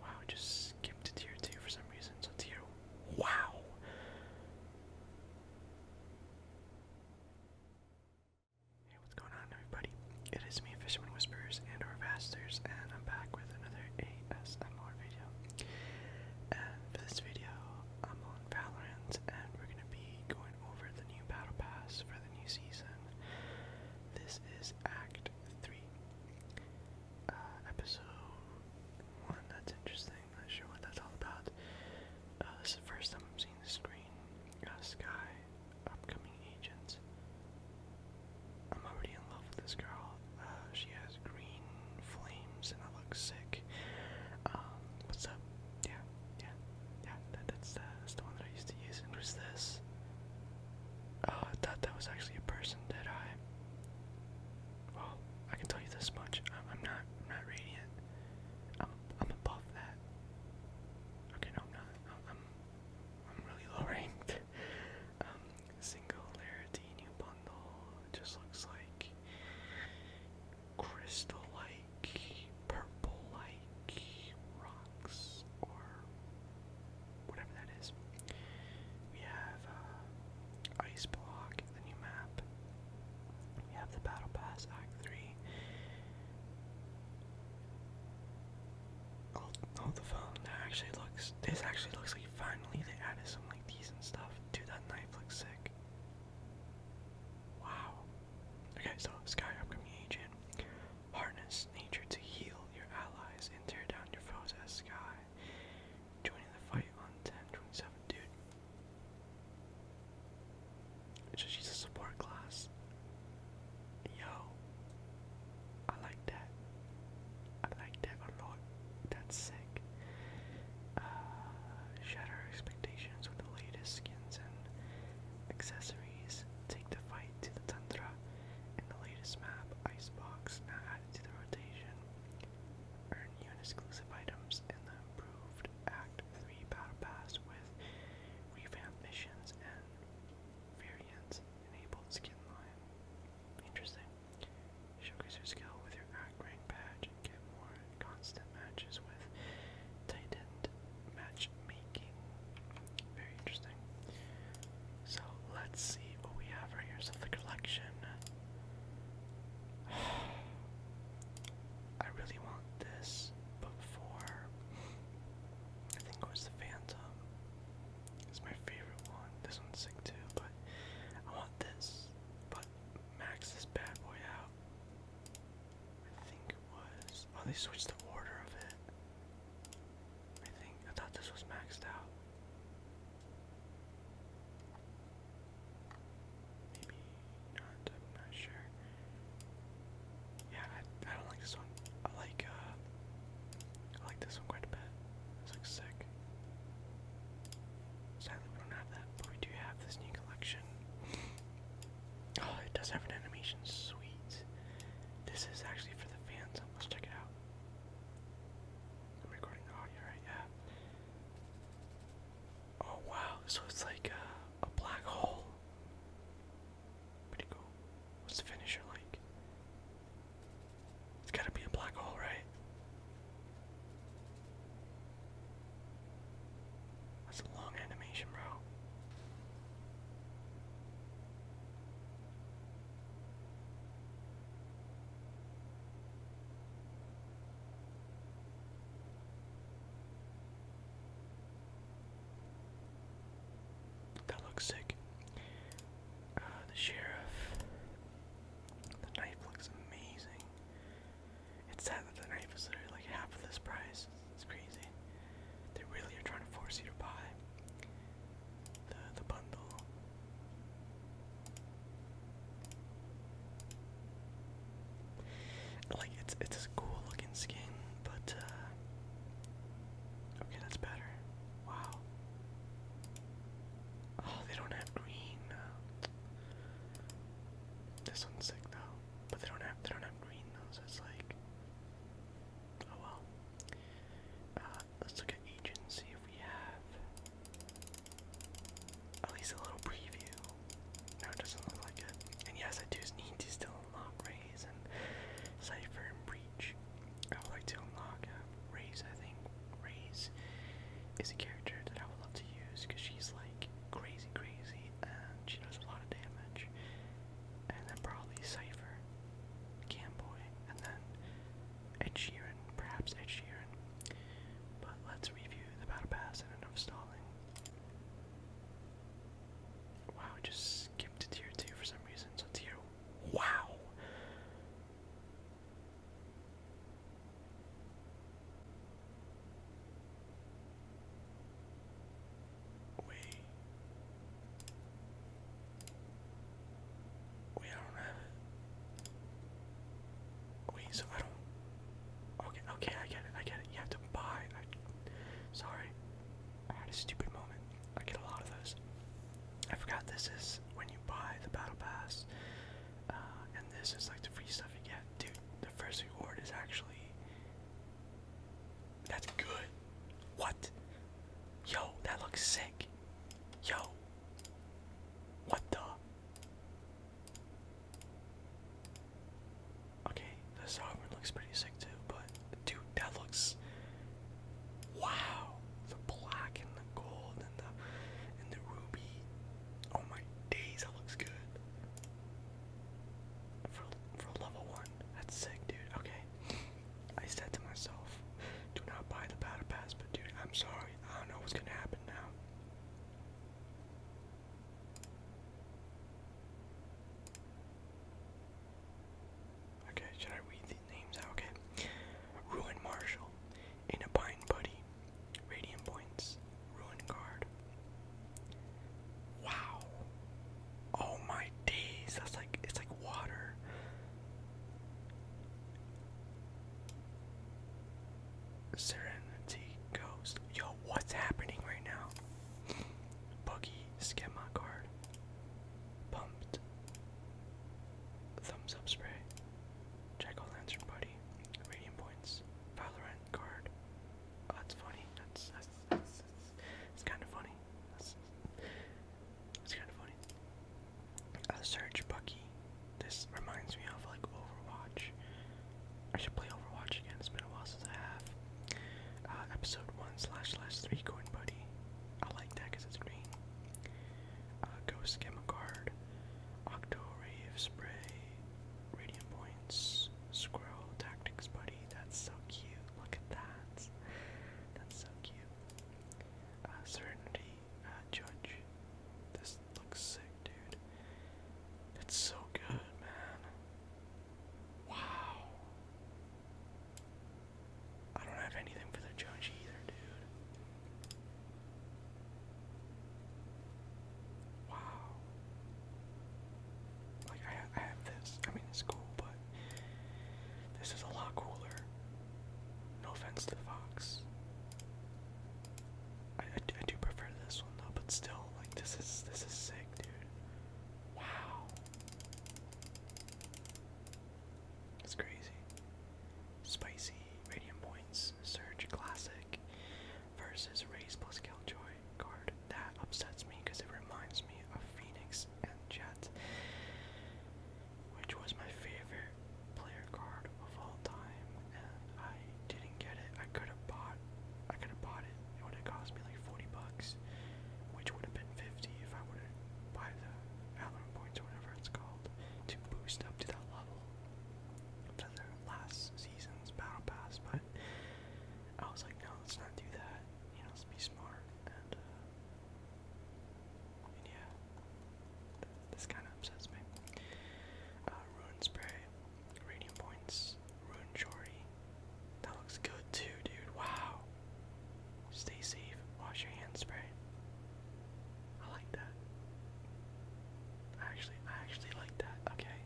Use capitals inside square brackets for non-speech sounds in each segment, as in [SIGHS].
Wow, just skipped to tier two for some reason. So tier wow. Hey, what's going on everybody? It is me, Fisherman Whispers and our Vasters, and I'm back with another for this video, I'm on Valorant, and we're gonna be going over the new battle pass for the new season. This is Act Three, uh, Episode One. That's interesting. Not sure what that's all about. Uh, this is the first time I'm seeing the screen. Uh, Sky, upcoming agents. I'm already in love with this girl. Uh, she has green flames and I look sick. Um, what's up? Yeah, yeah, yeah. That, uh, that's, the one that I used to use. who's this? Oh, I thought that was actually a person, did I? Well, I can tell you this much. I'm, not, I'm not radiant. I'm, I'm above that. Okay, no, I'm not. I'm, I'm really low ranked. [LAUGHS] Um, Singularity new bundle. It just looks like crystal like, purple like rocks or whatever that is. We have uh, Ice Block, the new map. We have the Battle Pass Act 3. Oh, the phone that actually looks this actually looks finally they added some like decent stuff. Dude, that knife looks sick. Wow. Okay, so Sky Upcoming Agent. Harness nature to heal your allies and tear down your foes as Sky. Joining the fight on 10 dude. she's a support class. Yo. I like that. I like that a lot. That's sick. Uh, shatter expectations with the latest skins and accessories. Take the fight to the Tundra and the latest map, Icebox, now added to the rotation. Earn new and exclusive items and the improved Act 3 Battle Pass with revamped missions and variants enabled skin line. Interesting. Showcase your skill with your rank badge and get more constant matches with tightened matchmaking. Very interesting. So let's see what we have right here. So the collection. [SIGHS] I really want this, but I think it was the Phantom. It's my favorite one. This one's sick too, but I want this. But max this bad boy out. I think it was. Oh, they switched the order of it. I think. I thought this was maxed out. Maybe not. I'm not sure. Yeah, I, I don't like this one. I like, uh, I like this one quite a bit. It's like sick. Sadly, we don't have that, but we do have this new collection. [GASPS] Oh, it does have an animation. Sweet. This is actually for the fans. Let's check it out. I'm recording the oh, right Yeah. Oh wow, so it's like a, a black hole. Pretty cool. What's the finisher like? It's gotta be a black hole, right? That's a long animation, bro. That looks sick. Uh, the sheriff. The knife looks amazing. It's sad that the knife is literally like half of this price. It's crazy. They really are trying to force you to buy the the bundle. Like it's it's a cool looking skin, but uh, Okay, that's better. Wow. Oh, they don't have green. This one's sick though, but they don't have they don't have green though, it's like, oh well. Uh, let's look at agents if we have at least a little preview. No, it doesn't look like it. And yes, I do need to still unlock Rays and Cipher Breach. I would like to unlock uh, I think Raze is a character that I would love to use because she's like crazy, crazy, and she does a lot of damage. And then probably Cipher, Camboy, and then Ed Sheeran, perhaps Ed Sheeran. But let's review the battle pass and enough stalling. Wow, just skipped to tier 2 for some reason. So tier Wow. We we don't have it. Wait, so I don't. Okay, okay, I get it. I get it. You have to buy. sorry, I had a stupid moment. I get a lot of those. I forgot this is when you buy the battle pass, uh, and this is like the free stuff you get. Dude, the first reward is actually. That's good. What? Yo, that looks sick. Yo. What the? Okay, the sovereign looks pretty sick too, but Dude, that looks wow. The black and the gold and the and the ruby. Oh my days, that looks good. For for level one, that's sick, dude. Okay, I said to myself, do not buy the battle pass, but dude, I'm sorry, I don't know what's gonna happen now. Okay, should I read these? name's out, okay? Ruin Marshall, in a bind buddy, radiant points, ruin guard. Wow. Oh my days, that's like it's like water. Serenity Ghost. Yo, what's happening right now? Buggy Schema card. Pumped. Thumbs up spray. Jack o' lantern buddy. Radiant points. Valorant card. Oh, that's funny. That's that's kind of funny. That's, kind of funny. A Surge Bucky. This reminds me of like Overwatch. I should play Overwatch again. It's been a while since I have. Uh, episode one slash slash three coin buddy. I like that because it's green. Uh, Ghost Chemicard, Octorave Spray, Radiant Points, Squirrel Tactics Buddy. That's so cute. Look at that. That's so cute. Uh, uh Judge. This looks sick, dude. It's so good, man. Wow. I don't have anything for the judge either, dude. Wow. Like, I, have this. I mean, it's cool, but this is a lot cooler. No offense to Fox. I do prefer this one though, but still, like this is this is sick, dude. Wow. It's crazy. Spicy, Radium Points, Surge Classic versus Raise plus Killjoy card. That upsets me because it reminds me of Phoenix and Jet, which was my favorite player card of all time, and I didn't get it. I could have bought I could have bought it. It would have cost me like 40 bucks bucks, which would have been 50 if I would have buy the Valorant points or whatever it's called to boost up to that level for their last season's battle pass. But I was like, no, let's not do that. You know, let's be smart and. Uh, and yeah, th this kind of upsets me. Uh, Ruin Spray, Radiant Points, Ruin Shorty. That looks good too, dude. Wow. Stay safe. Wash your hands. Spray. I like that. I actually, I actually like that. Okay.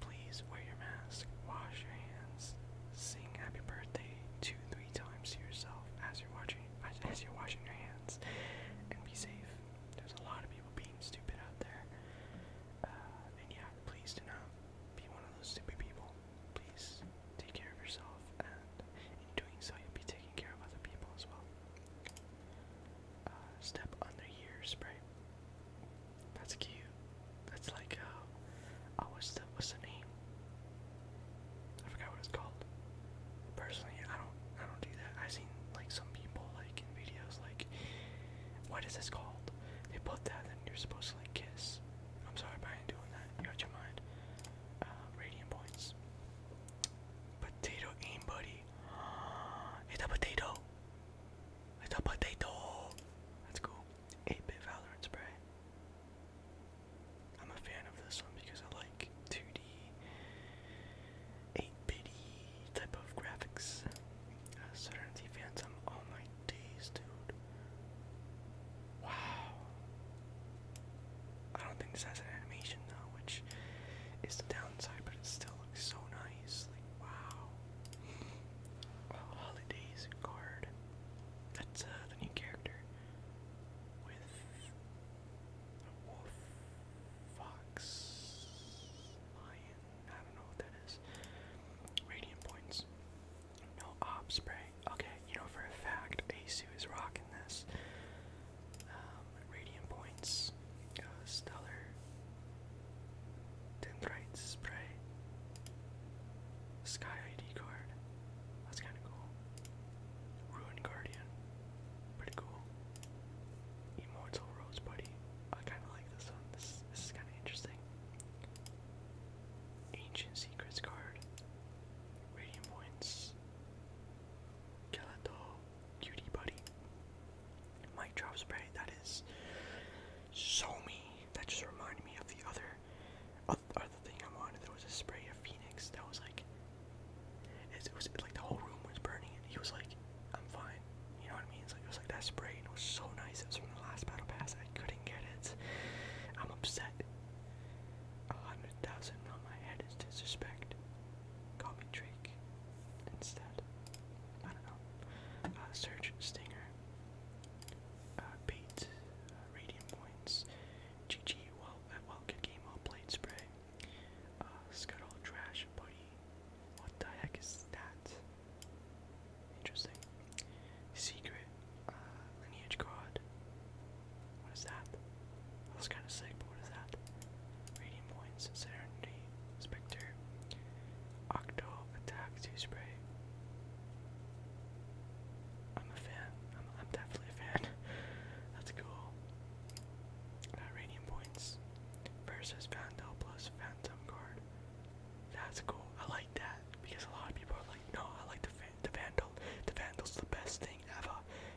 Please wear your mask. Wash your hands. Sing happy birthday two, three times to yourself as you're watching, as you're washing your hands, and be safe. There's a lot of people being stupid out there. Uh, and yeah, please do not be one of those stupid people. Please take care of yourself, and in doing so, you'll be taking care of other people as well. Uh, step under your spray. That's cute. That's like uh, oh, what's the what's the name? I forgot what it's called. Personally, I don't I don't do that. I've seen like some people like in videos like what is this called? They put that and you're supposed to like kiss I'm sorry, but I ain't doing that. got your mind. Uh, radiant points. Potato aim, buddy. [GASPS] it's a potato. It's a potato. That's cool. 8-bit Valorant spray. I'm a fan of this one because I like 2D, 8-bitty type of graphics. Uh, Serenity Phantom. Oh my days, dude. Wow. I don't think this has an animation though, which is the downside, but it still looks so nice. wow. holidays card. That's uh, the new character with a wolf, fox, lion. I don't know what that is. Radiant points. No op spray. Okay, you know for a fact Asu is rocking this. Um, radiant points, uh, stellar, dendrite spray, sky ID card. That's kind of cool. Ruined guardian, pretty cool. Immortal rose buddy. I kind of like this one. this is kind of interesting. Ancient Secrets card. Radiant Points. Gelato Cutie Buddy. Mic Drop Spray. That is so That just reminded me of the other, other thing I wanted. There was a spray of Phoenix that was like, it was like the whole room was burning and he was like, I'm fine. You know what I mean? it was like that spray it was so nice last battle pass. I couldn't get it. I'm upset. A hundred thousand on my head is disrespect. Call me Drake instead. I don't know. Uh, Stinger. Uh, bait. Uh, points. GG. Well, uh, well, good game. Well played. Spray. Uh, scuttle. Trash. Buddy. What the heck is that? Interesting. Secret uh, lineage card. What is that? That was kind of sick, but what is that? Radiant points, Serenity, Spectre, Octo, Attack, Two Spray. I'm a fan. I'm, definitely a fan. [LAUGHS] That's cool. Radiant points versus Vandal plus Phantom card. That's cool. I like that because a lot of people are like, no, I like the van the Vandal. The Vandal's the best thing ever.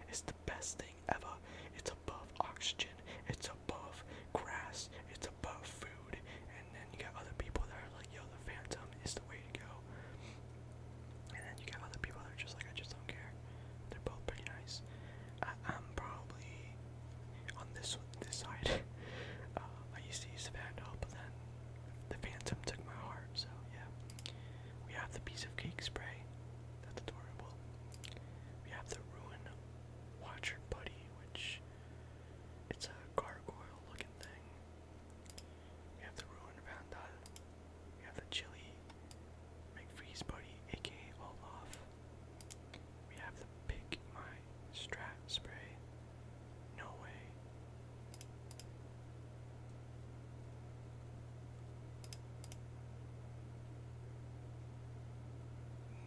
It's the best thing ever. It's above oxygen. It's above grass. It's above food. And then you got other people that are like, yo, the Phantom is the way to go. And then you got other people that are just like, I just don't care. They're both pretty nice. I, am probably on this one, this side. [LAUGHS] Uh, I used to use the Vandal, but then the phantom took my heart, so yeah. We have the piece of cake spray. That's adorable. We have the ruin watcher buddy, which it's a gargoyle looking thing. We have the ruin vandal. We have the chili McFreeze buddy, aka Olaf. We have the pig my Strat spray. No way.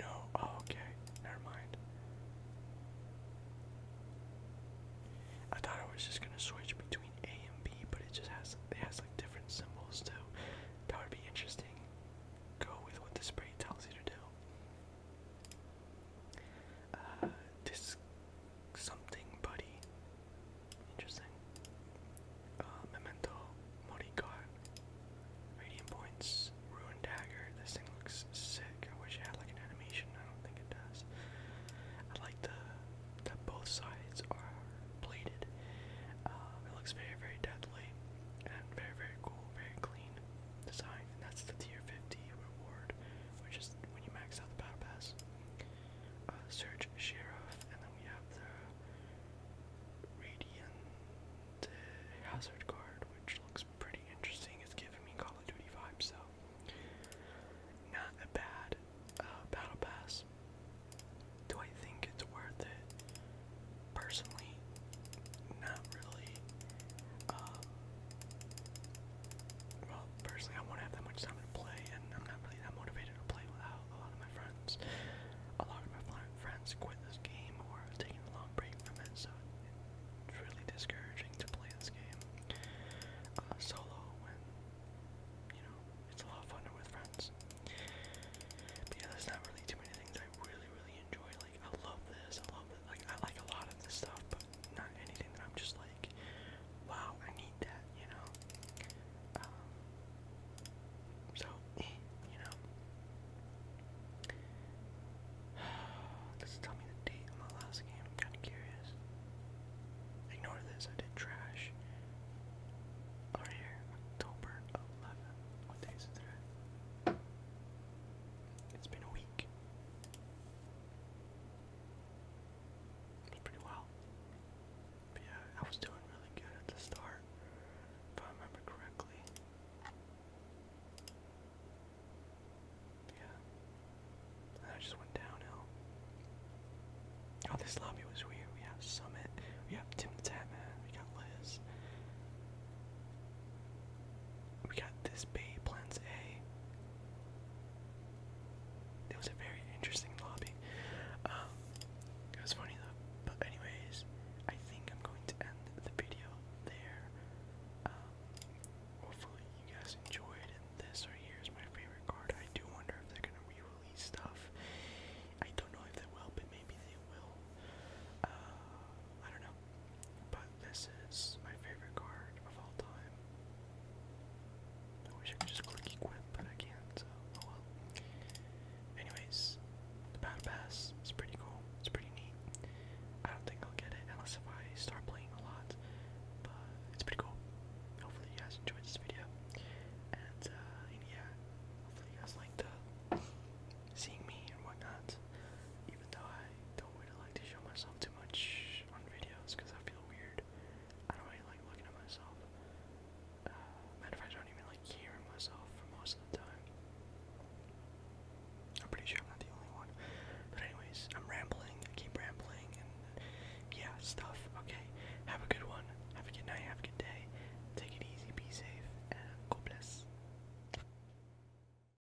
No. Oh, okay. Never mind. I thought I was just gonna switch between A and B, but it just has it has like different symbols too. That would be interesting. Go with what the spray tells you to do. Uh, this something buddy. Interesting. Uh, memento, Morigar. Radiant points, ruined dagger. This thing looks sick. I wish it had like an animation. I don't think it does. I like the that both sides are plated. Uh, it looks very very deadly and very very cool, very clean design. And that's the tier 50 reward which is when you max out the battle pass. Uh, Search and then we have the Radiant Hazard card, which looks pretty interesting. It's giving me Call of Duty vibes, so not a bad uh, battle pass. Do I think it's worth it? Personally, not really. Uh, well, personally, I won't have that much time to play, and I'm not really that motivated to play without a lot of my friends. A lot of my friends quit this game or are taking a long break from it, so it's really discouraging to play this game uh, solo when, you know, it's a lot of fun with friends. But yeah, there's not really too many things I really, really enjoy I love this, I love it. Like I like a lot of this stuff, but not anything that I'm just like, wow, I need that, you know. Um, so eh, you know, does it tell me the date of my last game? I'm kind of curious. Ignore this. I did trash. Over here, October 11th. What day is it today? It's been a week pretty well. But yeah, I was doing really good at the start, if I remember correctly. Yeah. I just went downhill. Oh, this lobby was weird. We have Summit, we have Tim the Tatman, we got Liz. We got this bay plans A. It was a very interesting lobby. Um, it was funny though. But anyways, I think I'm going to end the video there. Um, hopefully you guys enjoyed, and this right here is my favorite card. I do wonder if they're gonna re-release stuff. I don't know if they will, but maybe they will. Uh, I don't know. But this is my favorite card of all time. I wish I could just click equip, but I can't, so oh Anyways, the battle pass is pretty cool. It's pretty neat. I don't think I'll get it unless if I start playing a lot. But it's pretty cool. Hopefully you guys enjoyed this video. And uh, yeah, hopefully you guys liked uh seeing me and whatnot. Even though I don't don't like to show myself too much on videos because I feel weird. I don't really like looking at myself. Uh, matter fact, I don't even like hearing myself for most of the time. I'm pretty sure I'm not the only one. But anyways, I'm rambling. I keep rambling and yeah, stuff. Okay, have a good one. Have a good night. Have a good day. Take it easy. Be safe. And God bless.